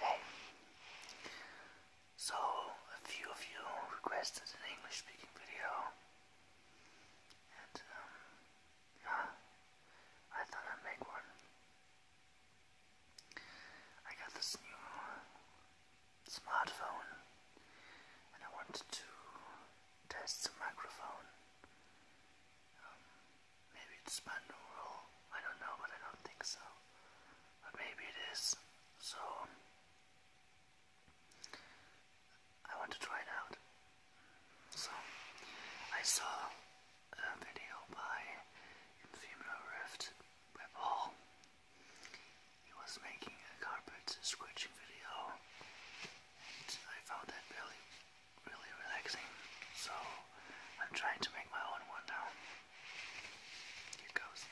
Hey, so a few of you requested an English speaking video, and yeah, um, I thought I'd make one. I got this new smartphone, and I wanted to test the microphone. Um, Maybe it's Spandau roll. I don't know, but I don't think so. But maybe it is. So I want to try it out. So I saw a video by Infamous Rift by Paul. He was making a carpet scratching video, and I found that really really relaxing, so I'm trying to make my own one now. Here goes.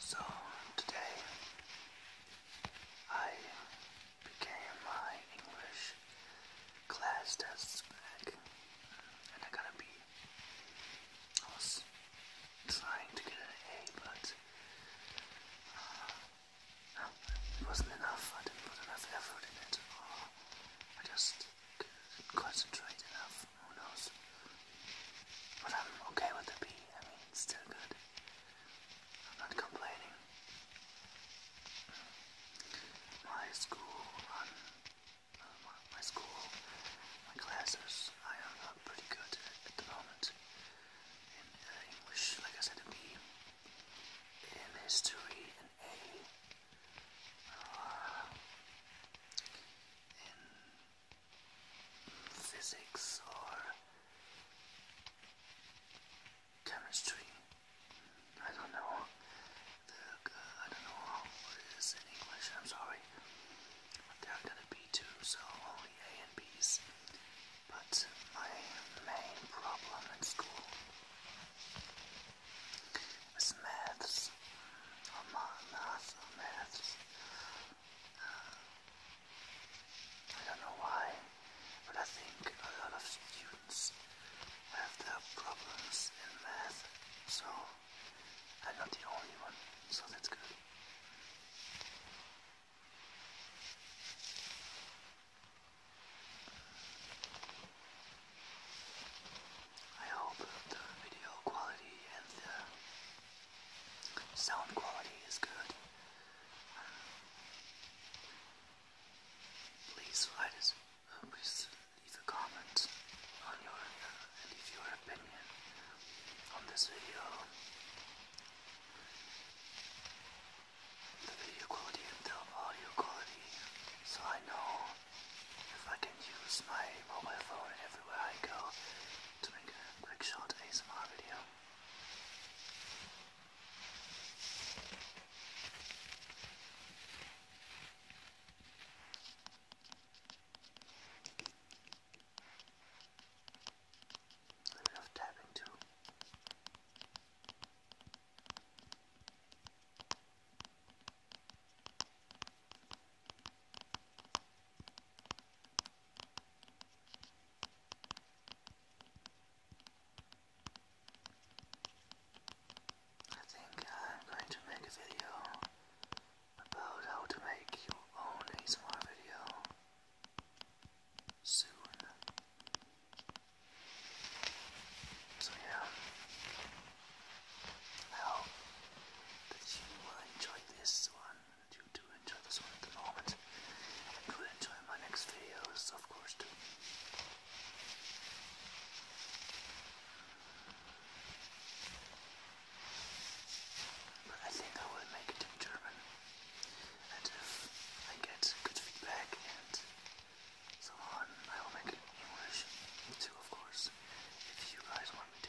So today I began my English class tests back, and I got a B. I was trying to get an A, but uh, it wasn't enough. I didn't put enough effort in it. Uh, I just couldn't concentrate enough. Who knows? But I'm okay with the B. I mean, it's still good. I'm not complaining. My school uh, my school, my classes, I am uh, pretty good at the moment. In uh, English, like I said, a B. In history, an A. in physics or chemistry. I don't know. The, uh, I don't know what in English. I'm sorry. There are gonna be two, so only A and B's. But my main problem in school is maths. Or oh, math or maths. I don't know why, but I think a lot of students have their problems in math, so I'm not the only one, so that's good. I hope the video quality and the Sound quality is good. Please write us, uh, please leave a comment on your, uh, leave your opinion on this video. The video quality and the audio quality, so I know if I can use my mobile phone everywhere I go to make a quick short ASMR video. A bit of tapping too. I think I'm going to make a video about how to make your own ASMR video soon. So yeah. I hope that you will enjoy this one. You do enjoy this one at the moment. You will enjoy my next videos, of course, too. But I think I will make it in German. And if I get good feedback and so on, I will make it English too, of course, if you guys want me to.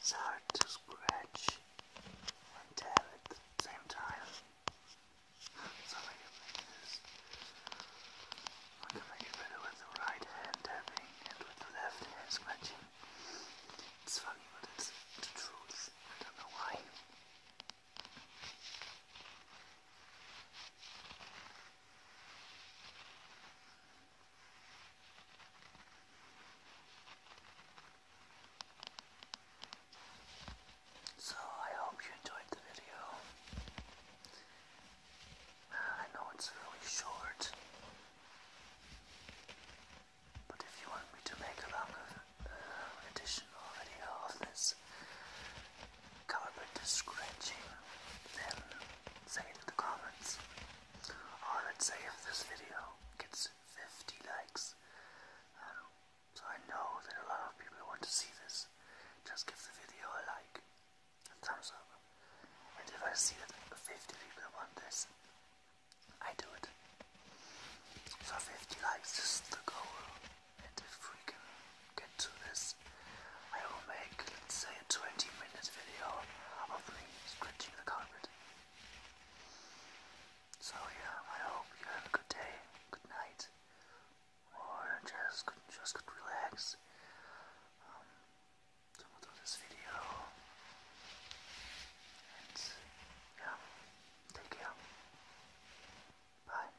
It's hard to scratch and tap at the same time. so I can make I can make better with the right hand tapping and with the left hand scratching. It's funny, but it's the truth. I don't know why. So I hope you enjoyed the video. Uh, I know it's really short, but if you want me to make a longer uh, additional video of this carpet scratching, then Say it in the comments. Or let's say if this video gets 50 likes. Um, so I know that a lot of people want to see this. Just give the video a like, a thumbs up. And if I see that 50 people want this, I do it. So 50 likes is the goal and if we can get to this, I will make, let's say, a 20 minute video of me scratching the carpet. So, yeah, I hope you have a good day, good night, or just just could relax. Um, so, this video. And, yeah, take care. Bye.